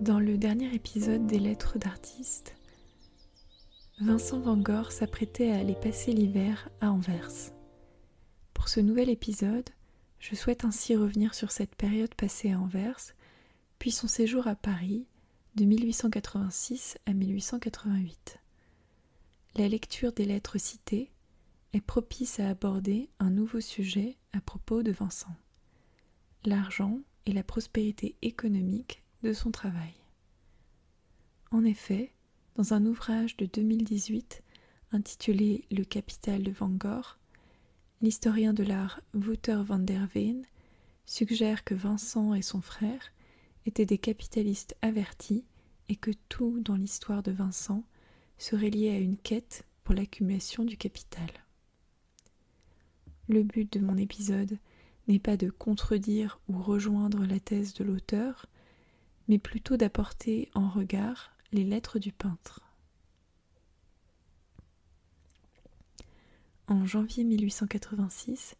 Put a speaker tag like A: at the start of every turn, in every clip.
A: Dans le dernier épisode des Lettres d'artistes, Vincent Van Gogh s'apprêtait à aller passer l'hiver à Anvers. Pour ce nouvel épisode, je souhaite ainsi revenir sur cette période passée à Anvers, puis son séjour à Paris de 1886 à 1888. La lecture des lettres citées est propice à aborder un nouveau sujet à propos de Vincent, l'argent et la prospérité économique de son travail. En effet, dans un ouvrage de 2018 intitulé Le capital de Van Gogh, l'historien de l'art Wouter van der Veen suggère que Vincent et son frère étaient des capitalistes avertis et que tout dans l'histoire de Vincent serait lié à une quête pour l'accumulation du capital. Le but de mon épisode n'est pas de contredire ou rejoindre la thèse de l'auteur, mais plutôt d'apporter en regard les lettres du peintre. En janvier 1886,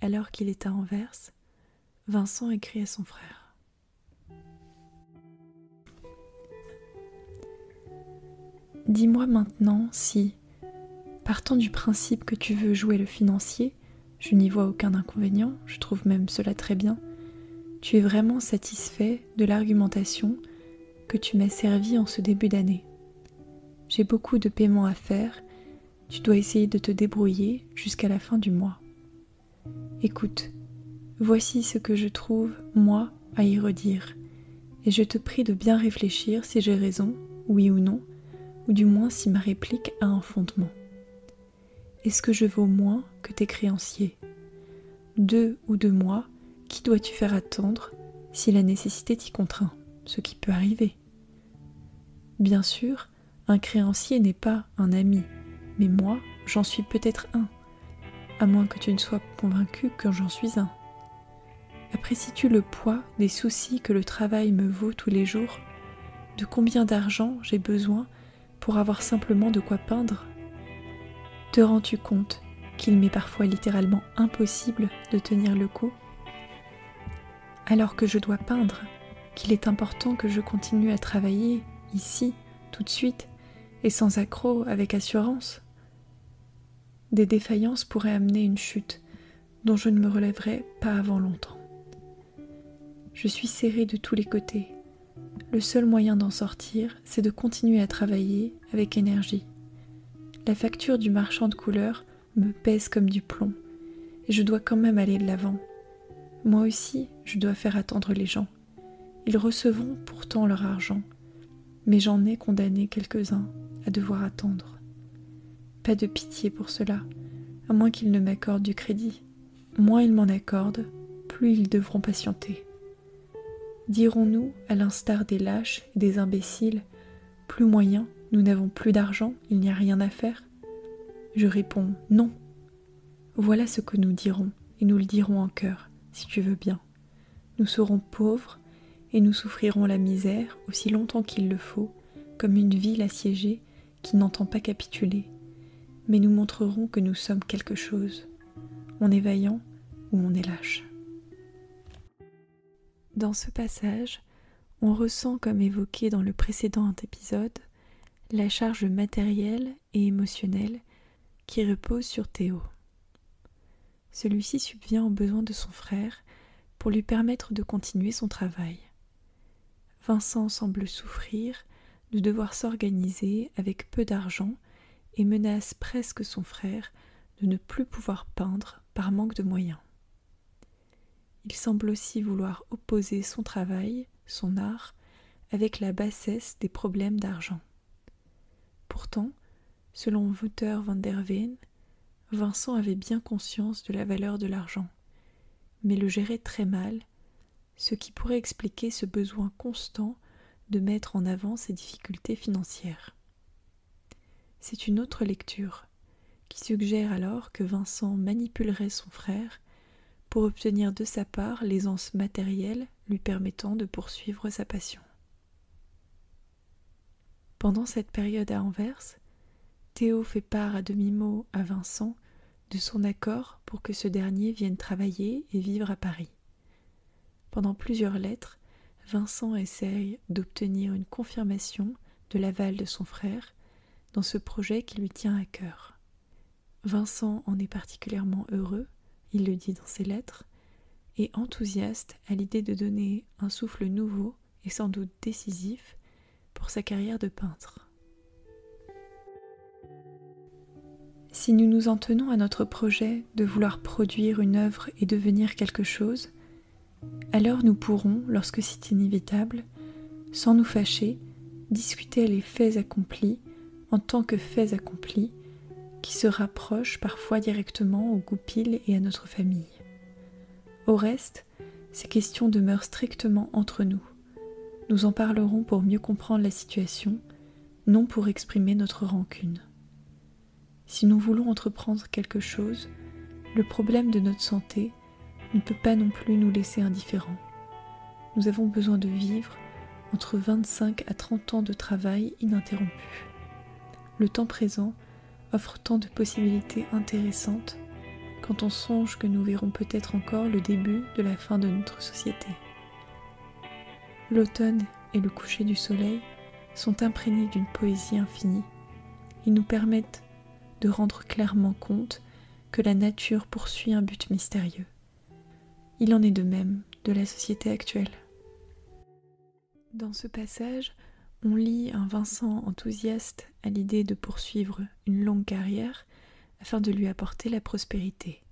A: alors qu'il était à Anvers, Vincent écrit à son frère. Dis-moi maintenant si, partant du principe que tu veux jouer le financier, je n'y vois aucun inconvénient, je trouve même cela très bien, tu es vraiment satisfait de l'argumentation que tu m'as servie en ce début d'année. J'ai beaucoup de paiements à faire, tu dois essayer de te débrouiller jusqu'à la fin du mois. Écoute, voici ce que je trouve, moi, à y redire, et je te prie de bien réfléchir si j'ai raison, oui ou non, ou du moins si ma réplique a un fondement. Est-ce que je vaux moins que tes créanciers Deux ou deux mois, qui dois-tu faire attendre si la nécessité t'y contraint, ce qui peut arriver Bien sûr, un créancier n'est pas un ami, mais moi, j'en suis peut-être un, à moins que tu ne sois convaincu que j'en suis un. Apprécies-tu le poids des soucis que le travail me vaut tous les jours De combien d'argent j'ai besoin pour avoir simplement de quoi peindre Te rends-tu compte qu'il m'est parfois littéralement impossible de tenir le coup alors que je dois peindre, qu'il est important que je continue à travailler ici, tout de suite, et sans accroc, avec assurance. Des défaillances pourraient amener une chute dont je ne me relèverai pas avant longtemps. Je suis serré de tous les côtés. Le seul moyen d'en sortir, c'est de continuer à travailler avec énergie. La facture du marchand de couleurs me pèse comme du plomb, et je dois quand même aller de l'avant. Moi aussi, je dois faire attendre les gens. Ils recevront pourtant leur argent, mais j'en ai condamné quelques-uns à devoir attendre. Pas de pitié pour cela, à moins qu'ils ne m'accordent du crédit. Moins ils m'en accordent, plus ils devront patienter. Dirons-nous, à l'instar des lâches et des imbéciles, plus moyen, nous n'avons plus d'argent, il n'y a rien à faire je réponds Non. Voilà ce que nous dirons, et nous le dirons en cœur, si tu veux bien. Nous serons pauvres, et nous souffrirons la misère aussi longtemps qu'il le faut, comme une ville assiégée qui n'entend pas capituler. Mais nous montrerons que nous sommes quelque chose. On est vaillant ou on est lâche. Dans ce passage, on ressent, comme évoqué dans le précédent épisode, la charge matérielle et émotionnelle qui repose sur Théo. Celui-ci subvient aux besoins de son frère pour lui permettre de continuer son travail. Vincent semble souffrir de devoir s'organiser avec peu d'argent et menace presque son frère de ne plus pouvoir peindre par manque de moyens. Il semble aussi vouloir opposer son travail, son art, avec la bassesse des problèmes d'argent. Pourtant, selon Wouter van der Veen, Vincent avait bien conscience de la valeur de l'argent, mais le gérait très mal, ce qui pourrait expliquer ce besoin constant de mettre en avant ses difficultés financières. C'est une autre lecture, qui suggère alors que Vincent manipulerait son frère pour obtenir de sa part l'aisance matérielle lui permettant de poursuivre sa passion. Pendant cette période à Anvers, Théo fait part à demi-mot à Vincent de son accord pour que ce dernier vienne travailler et vivre à Paris. Pendant plusieurs lettres, Vincent essaye d'obtenir une confirmation de l'aval de son frère dans ce projet qui lui tient à cœur. Vincent en est particulièrement heureux, il le dit dans ses lettres, et enthousiaste à l'idée de donner un souffle nouveau et sans doute décisif pour sa carrière de peintre. Si nous nous en tenons à notre projet de vouloir produire une œuvre et devenir quelque chose, alors nous pourrons, lorsque c'est inévitable, sans nous fâcher, discuter les faits accomplis en tant que faits accomplis qui se rapprochent parfois directement au goupil et à notre famille. Au reste, ces questions demeurent strictement entre nous. Nous en parlerons pour mieux comprendre la situation, non pour exprimer notre rancune. Si nous voulons entreprendre quelque chose, le problème de notre santé ne peut pas non plus nous laisser indifférents. Nous avons besoin de vivre entre 25 à 30 ans de travail ininterrompu. Le temps présent offre tant de possibilités intéressantes quand on songe que nous verrons peut-être encore le début de la fin de notre société. L'automne et le coucher du soleil sont imprégnés d'une poésie infinie. Ils nous permettent de rendre clairement compte que la nature poursuit un but mystérieux. Il en est de même de la société actuelle. Dans ce passage, on lit un Vincent enthousiaste à l'idée de poursuivre une longue carrière afin de lui apporter la prospérité.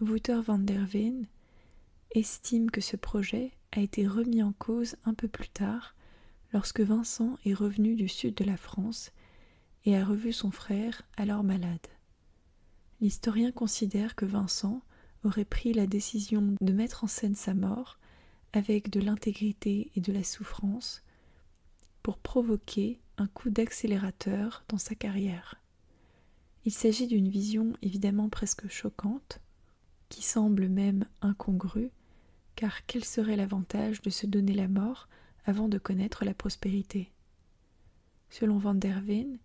A: Wouter van der Veen estime que ce projet a été remis en cause un peu plus tard lorsque Vincent est revenu du sud de la France et a revu son frère alors malade. L'historien considère que Vincent aurait pris la décision de mettre en scène sa mort avec de l'intégrité et de la souffrance pour provoquer un coup d'accélérateur dans sa carrière. Il s'agit d'une vision évidemment presque choquante, qui semble même incongrue, car quel serait l'avantage de se donner la mort avant de connaître la prospérité Selon Van der Veen,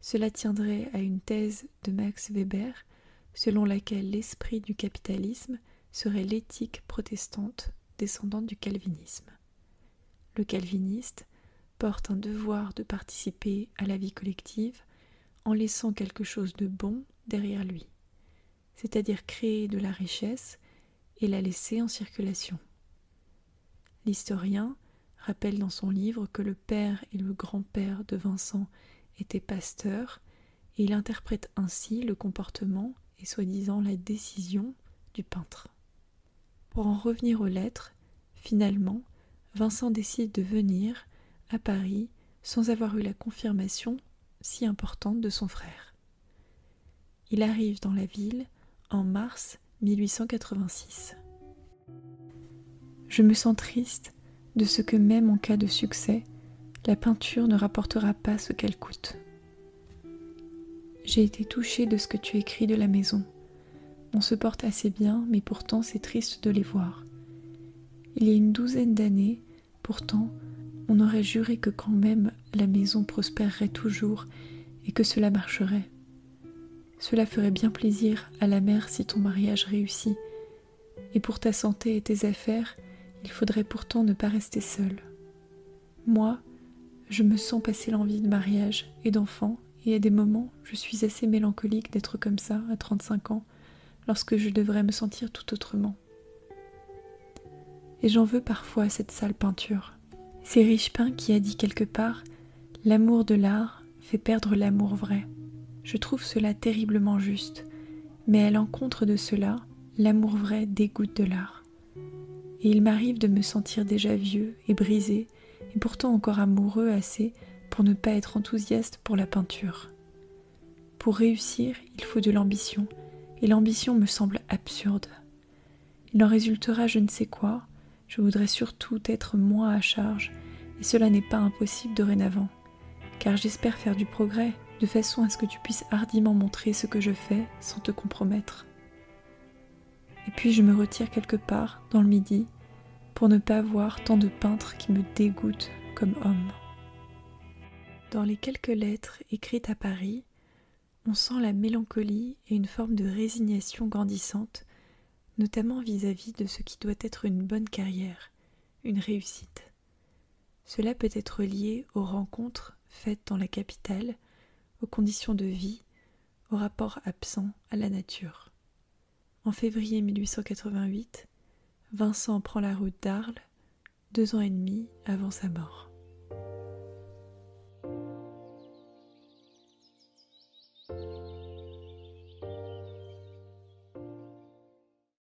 A: cela tiendrait à une thèse de Max Weber selon laquelle l'esprit du capitalisme serait l'éthique protestante descendante du calvinisme. Le calviniste porte un devoir de participer à la vie collective en laissant quelque chose de bon derrière lui, c'est-à-dire créer de la richesse et la laisser en circulation. L'historien rappelle dans son livre que le père et le grand-père de Vincent étaient pasteurs et il interprète ainsi le comportement et soi-disant la décision du peintre. Pour en revenir aux lettres, finalement, Vincent décide de venir à Paris sans avoir eu la confirmation si importante de son frère. Il arrive dans la ville en mars 1886. Je me sens triste de ce que même en cas de succès, la peinture ne rapportera pas ce qu'elle coûte. J'ai été touchée de ce que tu écris de la maison. On se porte assez bien, mais pourtant c'est triste de les voir. Il y a une douzaine d'années, pourtant, on aurait juré que quand même la maison prospérerait toujours et que cela marcherait. Cela ferait bien plaisir à la mère si ton mariage réussit, et pour ta santé et tes affaires, il faudrait pourtant ne pas rester seul. Moi, je me sens passer l'envie de mariage et d'enfant, et à des moments, je suis assez mélancolique d'être comme ça à 35 ans, lorsque je devrais me sentir tout autrement. Et j'en veux parfois à cette sale peinture. C'est Richepin qui a dit quelque part L'amour de l'art fait perdre l'amour vrai. Je trouve cela terriblement juste, mais à l'encontre de cela, l'amour vrai dégoûte de l'art. Et il m'arrive de me sentir déjà vieux et brisé, et pourtant encore amoureux assez pour ne pas être enthousiaste pour la peinture. Pour réussir, il faut de l'ambition, et l'ambition me semble absurde. Il en résultera je ne sais quoi, je voudrais surtout être moi à charge, et cela n'est pas impossible dorénavant, car j'espère faire du progrès, de façon à ce que tu puisses hardiment montrer ce que je fais sans te compromettre. Et puis je me retire quelque part, dans le midi, pour ne pas voir tant de peintres qui me dégoûtent comme homme. Dans les quelques lettres écrites à Paris, on sent la mélancolie et une forme de résignation grandissante, notamment vis à -vis de ce qui doit être une bonne carrière, une réussite. Cela peut être lié aux rencontres faites dans la capitale, aux conditions de vie, aux rapports absents à la nature. En février 1888, Vincent prend la route d'Arles, deux ans et demi avant sa mort.